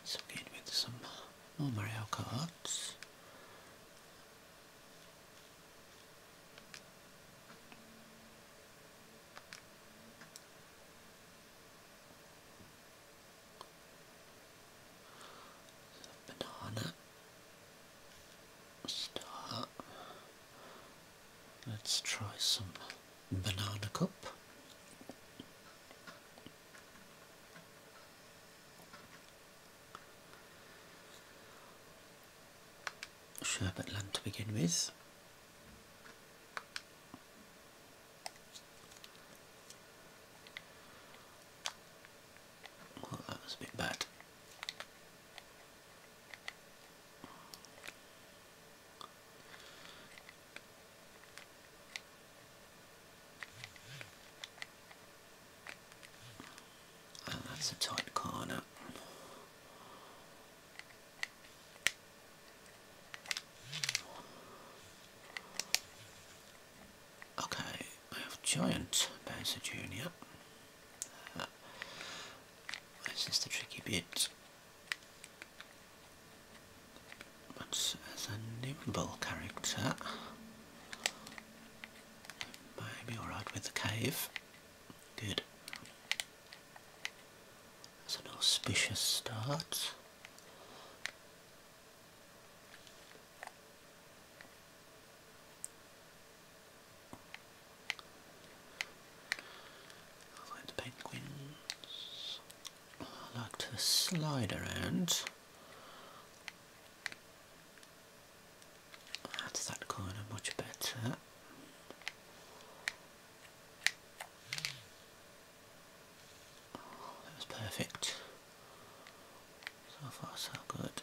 Let's begin with some more Mario cards. Banana, star, Let's try some banana cup. Sherbet land to begin with. Well, that was a bit bad. Oh, that's a tight corner. Okay, I have Giant Bowser Jr this is the tricky bit. But as a nimble character, maybe alright with the cave. Good. That's an auspicious start. I like the penguins. like to slide around. That's that corner much better. That was perfect. So far so good.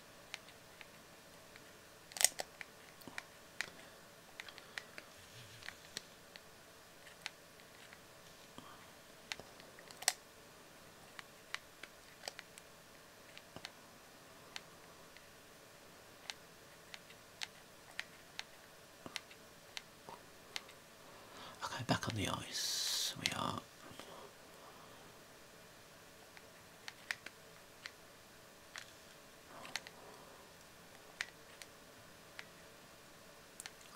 Okay, back on the ice we are.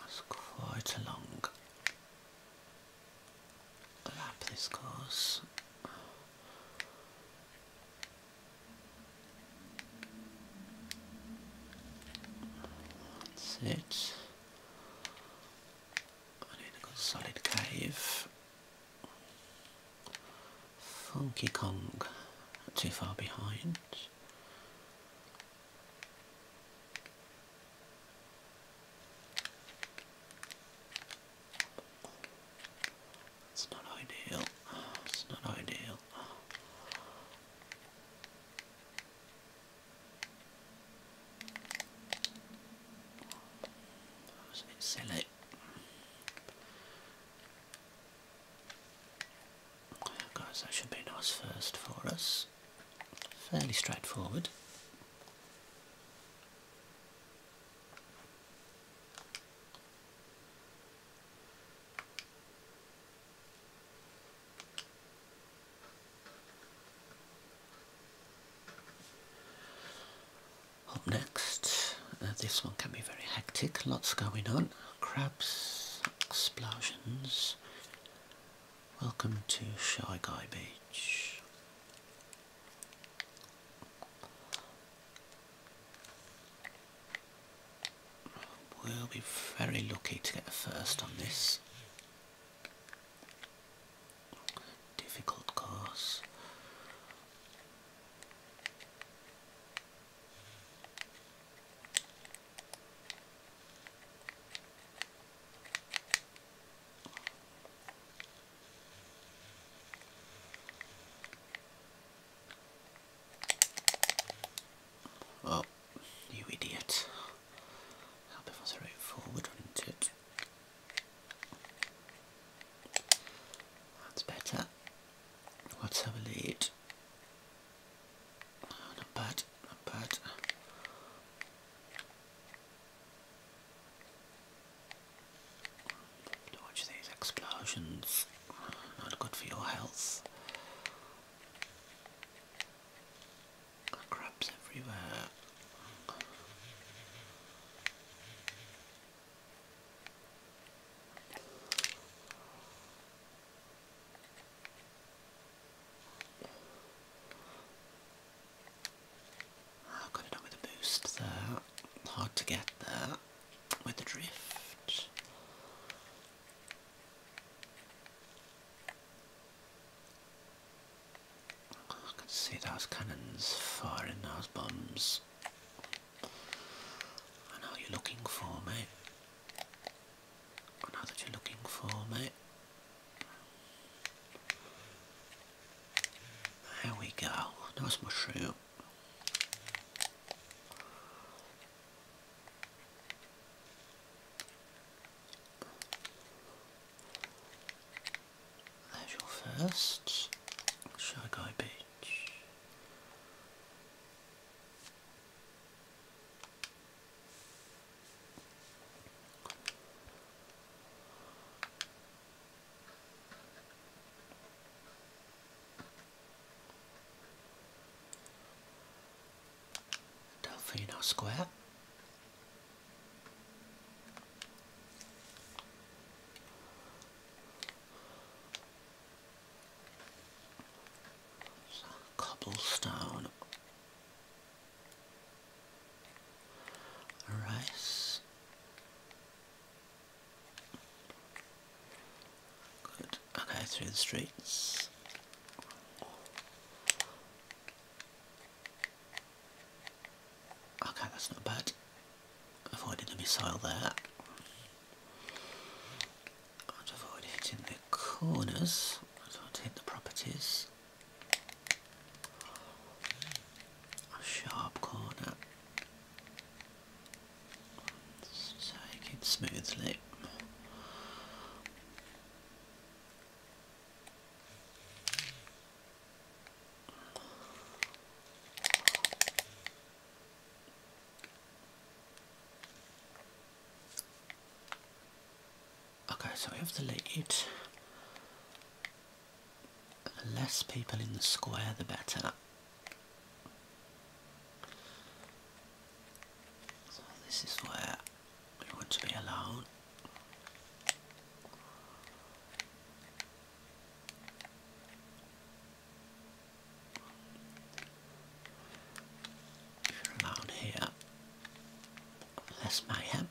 That's quite a long lap this course. That's it. I need a solid cave. Funky Kong, too far behind. It's not ideal. It's not ideal. That was a bit silly. Guys, that should be nice first for us. Fairly straightforward. Up next, uh, this one can be very hectic, lots going on. Crabs, explosions. Welcome to Shy Guy Beach. We'll be very lucky to get a first on this difficult cars. Oh, you idiot. That was a right forward, wasn't it? That's better. What's us have a lead. not bad, not bad. Watch these explosions. Not good for your health. Crabs everywhere. I got it up with a boost there. Hard to get there with the drift. I can see those cannons firing those bombs. I know you're looking for me. I know that you're looking for me. There we go. Nice mushroom. There's your first Shagai Beach. Delfino Square. cobblestone. Rice. Good. Okay, through the streets. Okay, that's not bad. Avoided the missile there. avoid hitting the corners. don't hit the properties. sharp corner. Let's take smoothly. Okay, so we have the lead. less people in the square, the better. So this is where we want to be alone. If you're alone here, less mayhem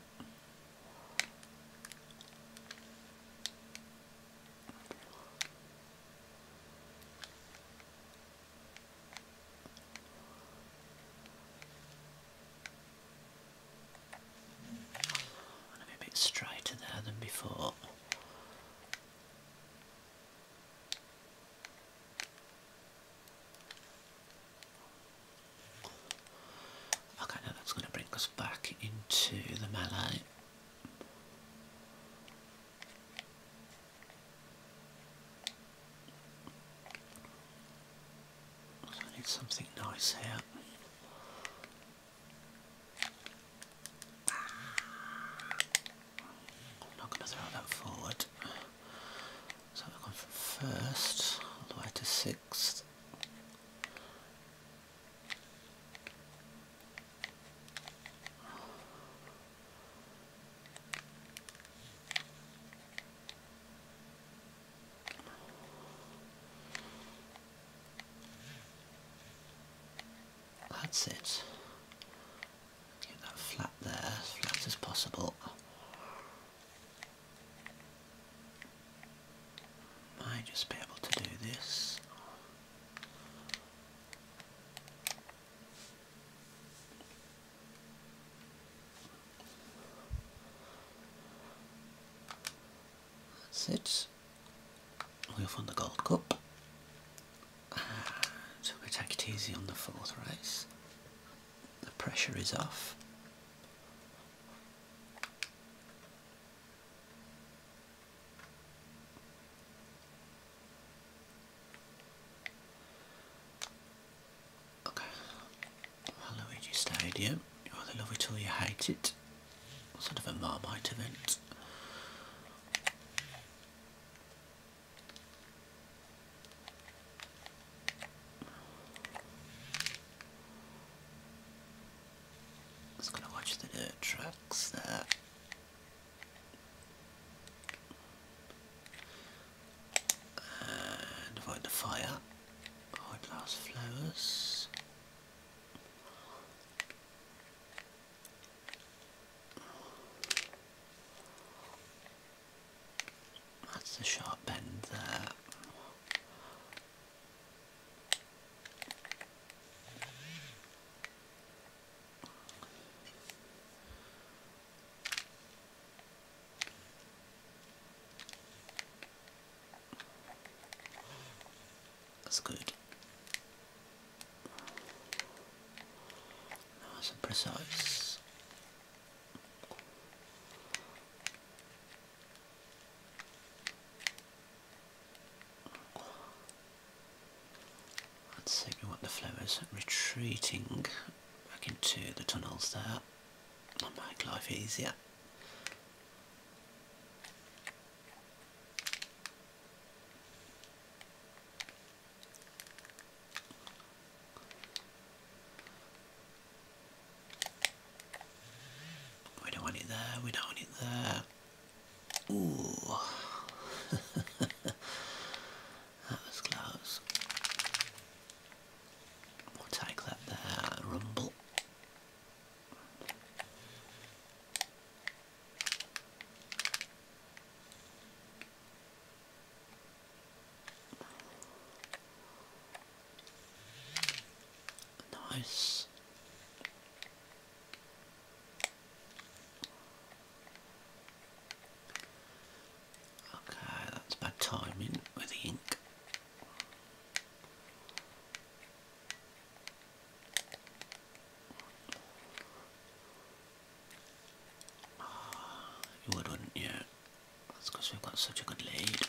i a bit straighter there than before. Okay, now that's going to bring us back into the melee. I need something nice here. I'm not going to throw that forward. So I've from first all the way to sixth. That's it. Get that flat there, flat as possible. Might just be able to do this. That's it. we have find the Gold Cup. So we take it easy on the fourth race. The pressure is off. Okay. Waluigi Stadium. You either love it or you hate it. Sort of a Marmite event. Just gonna watch the dirt there avoid the fire. Hourglass flowers. That's the sharp bend there. That's good. Nice precise. Let's That's exactly what the flow is. Retreating back into the tunnels there. i make life easier. We don't want it there, we don't want it there. Ooh. that was close. We'll take that there, rumble. Nice. Okay, that's bad timing with the ink. you would, not you? That's because we've got such a good lead.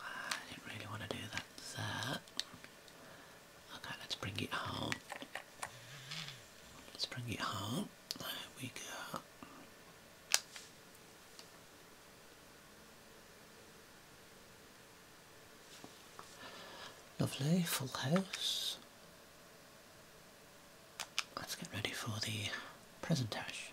I didn't really want to do that Okay, let's bring it home. Let's bring it home. There we go. Lovely, full house. Let's get ready for the presentation.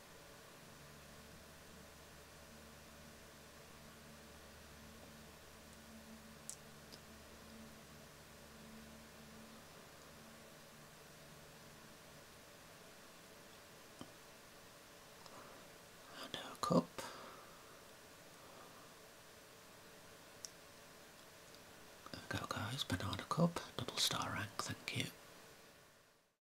And cup. go guys, banana cup, double star rank, thank you.